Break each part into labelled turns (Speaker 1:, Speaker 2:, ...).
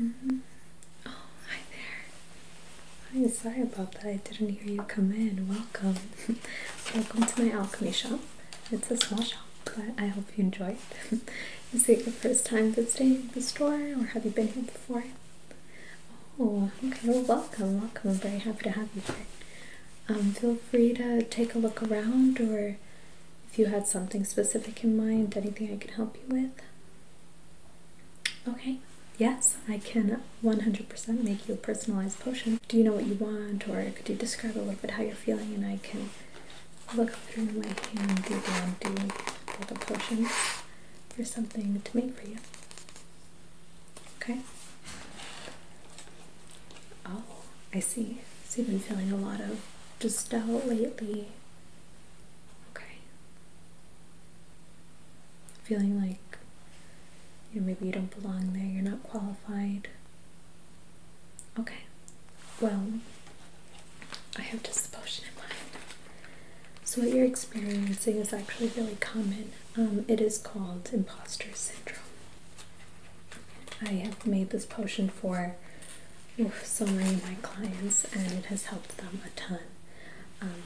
Speaker 1: Mm-hmm. Oh, hi there. I'm sorry about that. I didn't hear you come in. Welcome. Welcome to my alchemy shop. It's a small shop, but I hope you enjoy it. Is it your first time visiting the store or have you been here before? Oh, okay. Well, welcome, welcome. I'm very happy to have you here. Um, feel free to take a look around, or if you had something specific in mind, anything I can help you with. Okay, yes, I can 100% make you a personalized potion. Do you know what you want, or could you describe a little bit how you're feeling, and I can look through my and make a potion for something to make for you. Okay. Oh, I see. So you've been feeling a lot of just out lately. Okay. Feeling like you know, maybe you don't belong there, you're not qualified. Okay. Well, I have just a potion in mind. So, what you're experiencing is actually really common. Um, it is called imposter syndrome. I have made this potion for oof, so many of my clients, and it has helped them a ton. Um,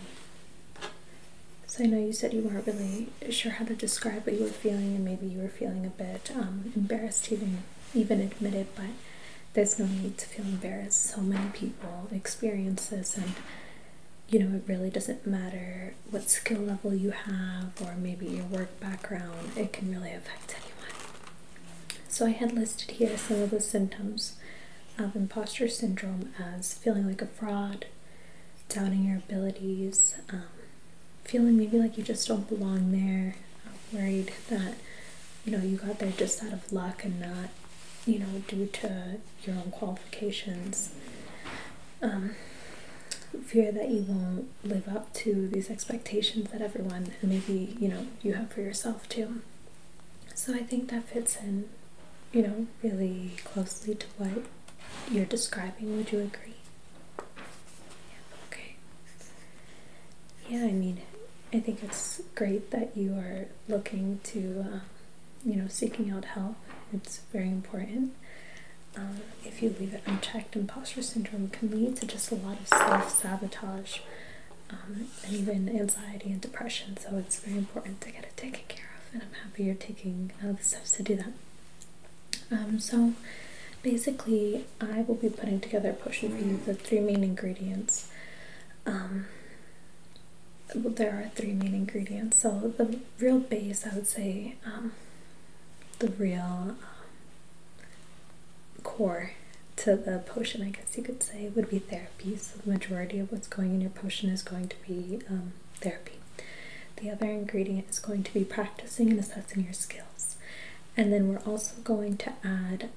Speaker 1: so, I know you said you weren't really sure how to describe what you were feeling, and maybe you were feeling a bit um, embarrassed to even, even admit it, but there's no need to feel embarrassed. So many people experience this, and you know, it really doesn't matter what skill level you have or maybe your work background, it can really affect anyone. So, I had listed here some of the symptoms of imposter syndrome as feeling like a fraud, doubting your abilities, um, feeling maybe like you just don't belong there, worried that you know you got there just out of luck and not you know, due to your own qualifications, um, fear that you won't live up to these expectations that everyone and maybe you know you have for yourself too. So I think that fits in, you know, really closely to what you're describing. Would you agree? Yeah, okay. Yeah, I mean, I think it's great that you are looking to, uh, you know, seeking out help. It's very important. Um, if you leave it unchecked, imposter syndrome can lead to just a lot of self sabotage um, and even anxiety and depression. So it's very important to get it taken care of, and I'm happy you're taking uh, the steps to do that. Um, so basically, I will be putting together a potion for you, the three main ingredients. Um, there are three main ingredients. So the real base, I would say, um, the real um, core to the potion, I guess you could say, would be therapy. So the majority of what's going in your potion is going to be um, therapy. The other ingredient is going to be practicing and assessing your skills. And then we're also going to add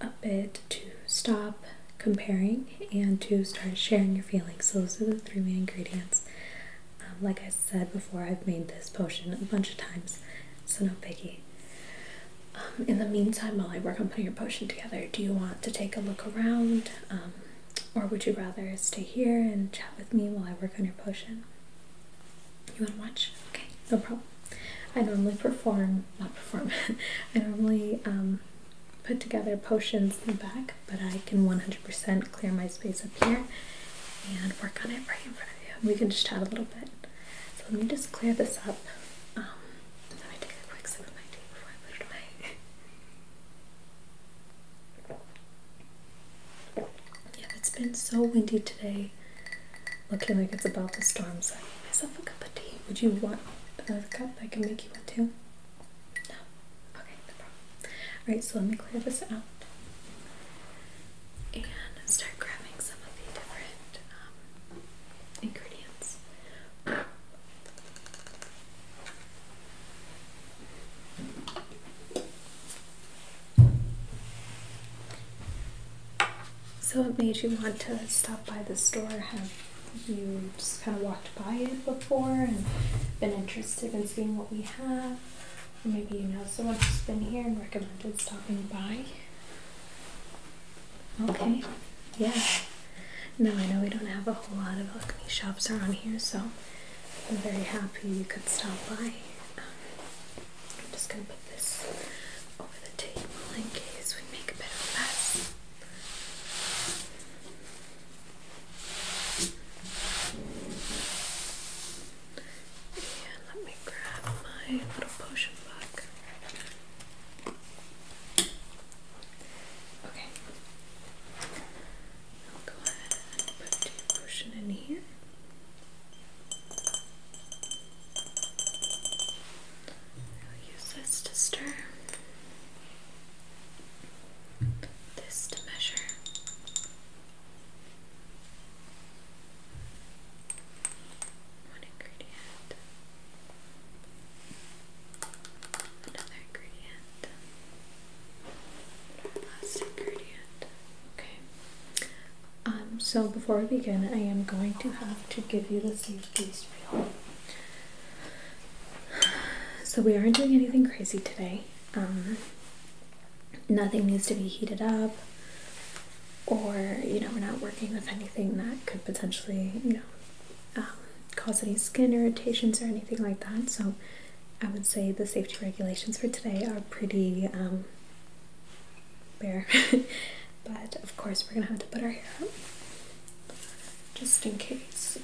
Speaker 1: a bit to stop comparing and to start sharing your feelings. So those are the three main ingredients. Um, like I said before, I've made this potion a bunch of times, so no biggie. Um, in the meantime, while I work on putting your potion together, do you want to take a look around? Um, or would you rather stay here and chat with me while I work on your potion? You want to watch? Okay, no problem. I normally perform, not perform, I normally um, put together potions in the back, but I can 100% clear my space up here and work on it right in front of you. We can just chat a little bit. So let me just clear this up. Um, let me take a quick sip of my tea before I put it away. yeah, it's been so windy today. Looking like it's about to storm, so I made myself a cup of tea. Would you want another cup? I can make you one too. No? Okay, no problem. Alright, so let me clear this out and start grabbing some of the different um, ingredients. So it made you want to stop by the store? Have you just kind of walked by it before and been interested in seeing what we have? Or maybe you know someone who's been here and recommended stopping by? Okay, yeah. No, I know we don't have a whole lot of alchemy shops around here, so I'm very happy you could stop by. Um, I'm just going to put this over the table in case we make a bit of a mess. And let me grab my little potion book. Okay. I'll go ahead put the potion in here use this to stir, this to measure. One ingredient, another ingredient, last ingredient. Okay. Um, so before we begin, I am going to have to give you the safety spiel. So we aren't doing anything crazy today. Um, nothing needs to be heated up, or you know, we're not working with anything that could potentially, you know, um, cause any skin irritations or anything like that. So I would say the safety regulations for today are pretty bear. but of course, we're gonna have to put our hair up just in case.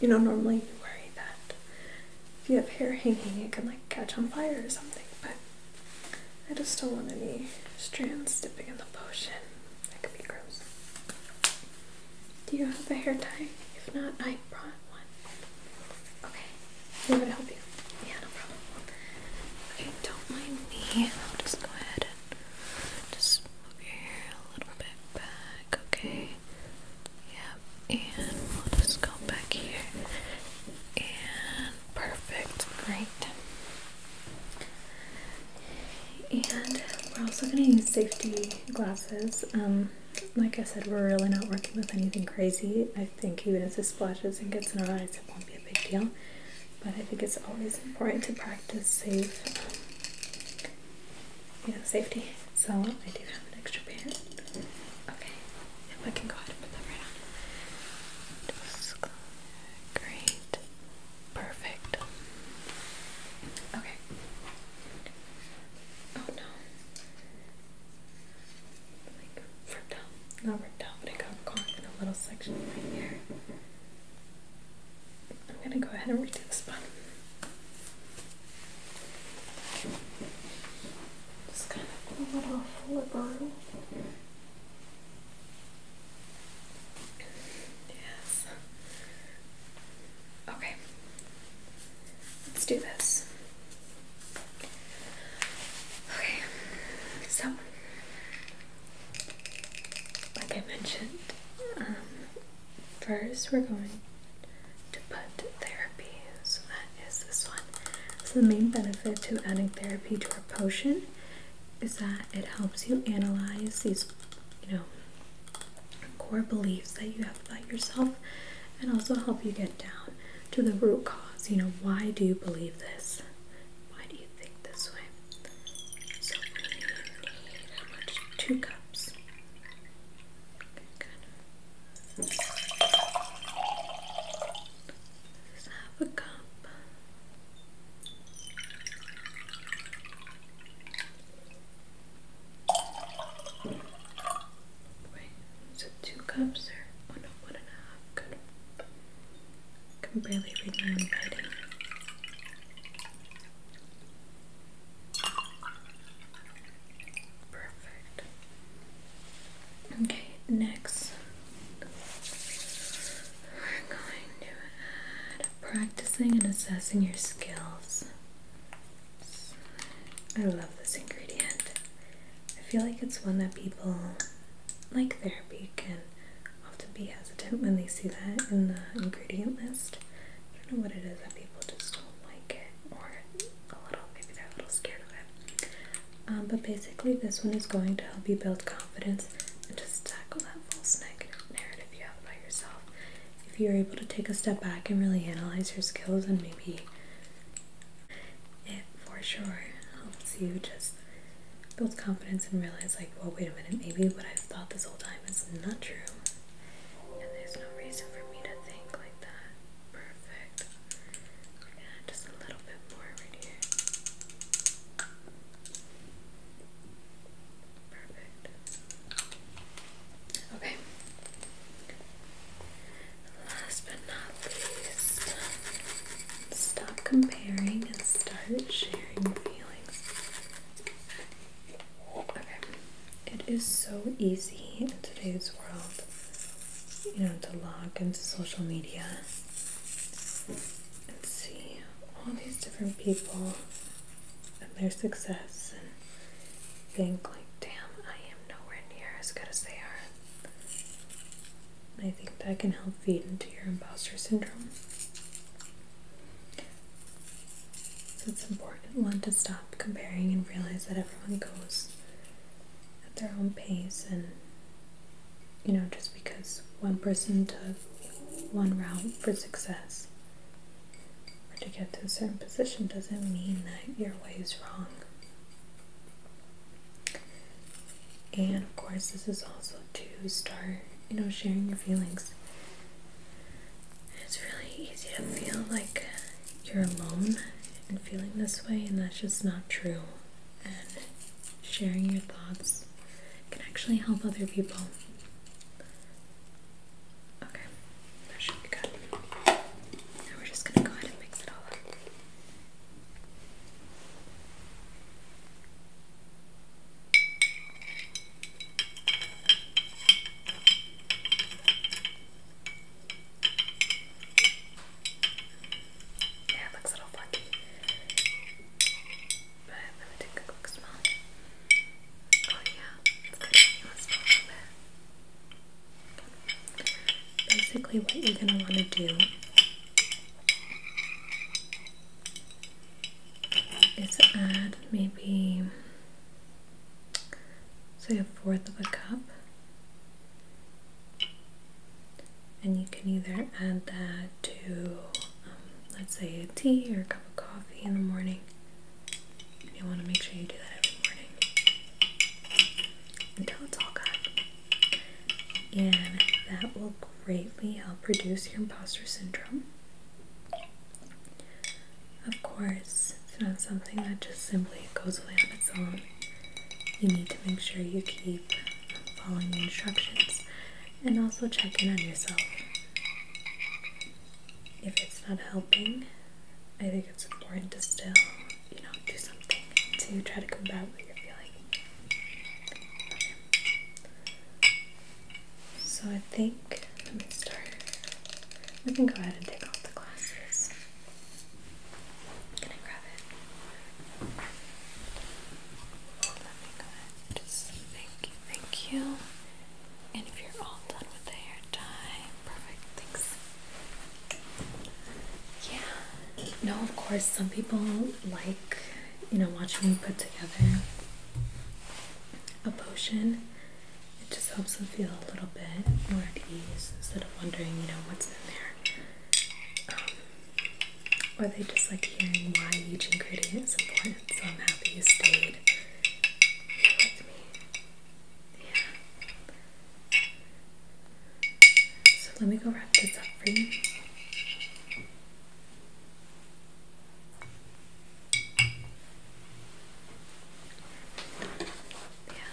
Speaker 1: You know, normally you worry that if you have hair hanging, it can like catch on fire or something, but I just don't want any strands dipping in the potion. That could be gross. Do you have a hair tie? If not, I brought one. Okay. I'm gonna help you. Yeah, no problem. Okay, don't mind me. I'll just go ahead and just move your hair a little bit back, okay? Yep, and we'll just go back here. And perfect, great. And we're also gonna use safety glasses. Um, like I said, we're really not working with anything crazy. I think even if it splashes and gets in our eyes, it won't be big deal, but I think it's always important to practice safe, you know, safety. So I do have an extra pair. Okay, if I can go ahead and put that right on. great, perfect. Okay. Oh no like ripped out, not ripped out, but it got caught in a little section right here. I'm gonna go ahead and redo this one. Just kind of pull it off liberally. Yes. Okay. Let's do this. Okay, so like I mentioned, um, first we're going to put therapy. So that is this one. So the main benefit to adding therapy to our potion is that it helps you analyze these, you know, core beliefs that you have about yourself and also help you get down to the root cause. You know, why do you believe this? Why do you think this way? So Two cups. Okay, good. cup. Wait, is two cups or oh one and a half. Good. Can barely read my own writing. Perfect. Okay, next we're going to add practicing and assessing your skills. I love this ingredient. I feel like it's one that people like therapy can often be hesitant when they see that in the ingredient list. I don't know what it is that people just don't like it, or a little, maybe they're a little scared of it. Um, but basically, this one is going to help you build confidence and just tackle that false narrative you have about yourself. If you're able to take a step back and really analyze your skills and maybe it for sure helps you just build confidence and realize like well wait a minute maybe what I've thought this whole time is not true and there's no reason for me to think like that. Perfect. Yeah, just a little bit more right here. Perfect. Okay last but not least, stop comparing and start sharing feelings. it is so easy in today's world, you know, to log into social media and see all these different people and their success and think like damn I am nowhere near as good as they are I think that can help feed into your imposter syndrome. it's important one to stop comparing and realize that everyone goes at their own pace and you know just because one person took one route for success or to get to a certain position doesn't mean that your way is wrong. And of course, this is also to start, you know, sharing your feelings. It's really easy to feel like you're alone and feeling this way, and that's just not true. And sharing your thoughts can actually help other people. Okay, that should be good. Now we're just gonna go ahead and mix it all up. Yeah, it looks a little funky. But let me take a quick smell. Oh yeah, it's good you a little bit. Basically, what you're going to want to do is add maybe say a fourth of a cup, and you can either add that to, um, let's say, a tea or a cup of coffee in the morning. You want to make sure you do that every morning until it's all gone. And that will greatly help reduce your imposter syndrome. Of course, it's not something that just simply goes away on its own. You need to make sure you keep following the instructions and also check in on yourself. If it's not helping, I think it's important to still you know, do something to try to combat what you're feeling. So I think let me start. We can go ahead and take off the glasses. Can I grab it? Let me go ahead. Just thank you, thank you. And if you're all done with the hair, time. Perfect, thanks. Yeah. No, of course, some people like, you know, watching me put together a potion. It just helps them feel a little bit more at ease instead of wondering, you know, what's in there. Um, or they just like hearing why each ingredient is important, so I'm happy you stayed with me. Yeah. So let me go wrap this up for you. Yeah.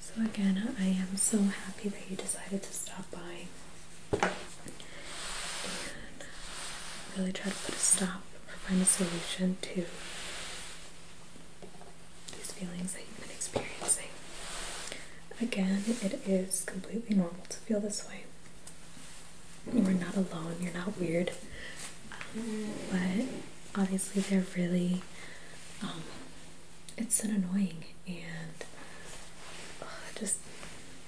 Speaker 1: So again, I am so happy that you decided to stop buying. and really try to put a stop or find a solution to these feelings that you've been experiencing. Again, it is completely normal to feel this way. You're not alone, you're not weird. but obviously, they're really, um, it's an annoying and just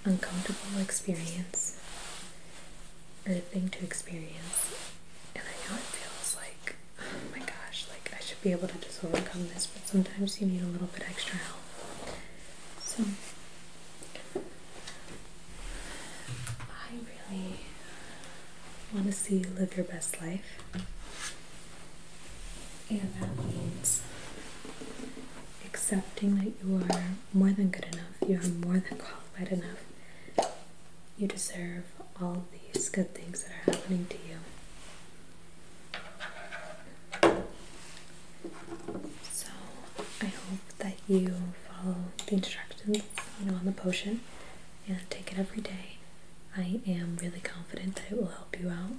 Speaker 1: uncomfortable experience or thing to experience. And I know it feels like Oh my gosh, like I should be able to just overcome this, but sometimes you need a little bit extra help. So, I really want to see you live your best life, and that means accepting that you are more than good enough, you are more than qualified enough, you deserve all these good things that are happening to you. So, I hope that you follow the instructions, you know, on the potion and take it every day. I am really confident that it will help you out.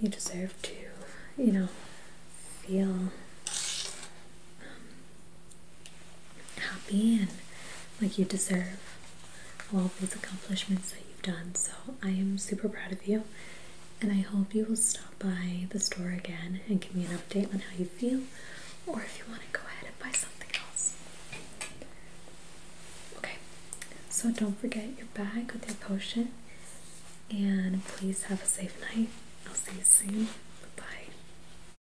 Speaker 1: You deserve to, you know, feel um, happy and like you deserve all these accomplishments that you've done. So I am super proud of you, and I hope you will stop by the store again and give me an update on how you feel, or if you want to go ahead and buy something else. Okay, so don't forget your bag with your potion, and please have a safe night. I'll see you soon. Bye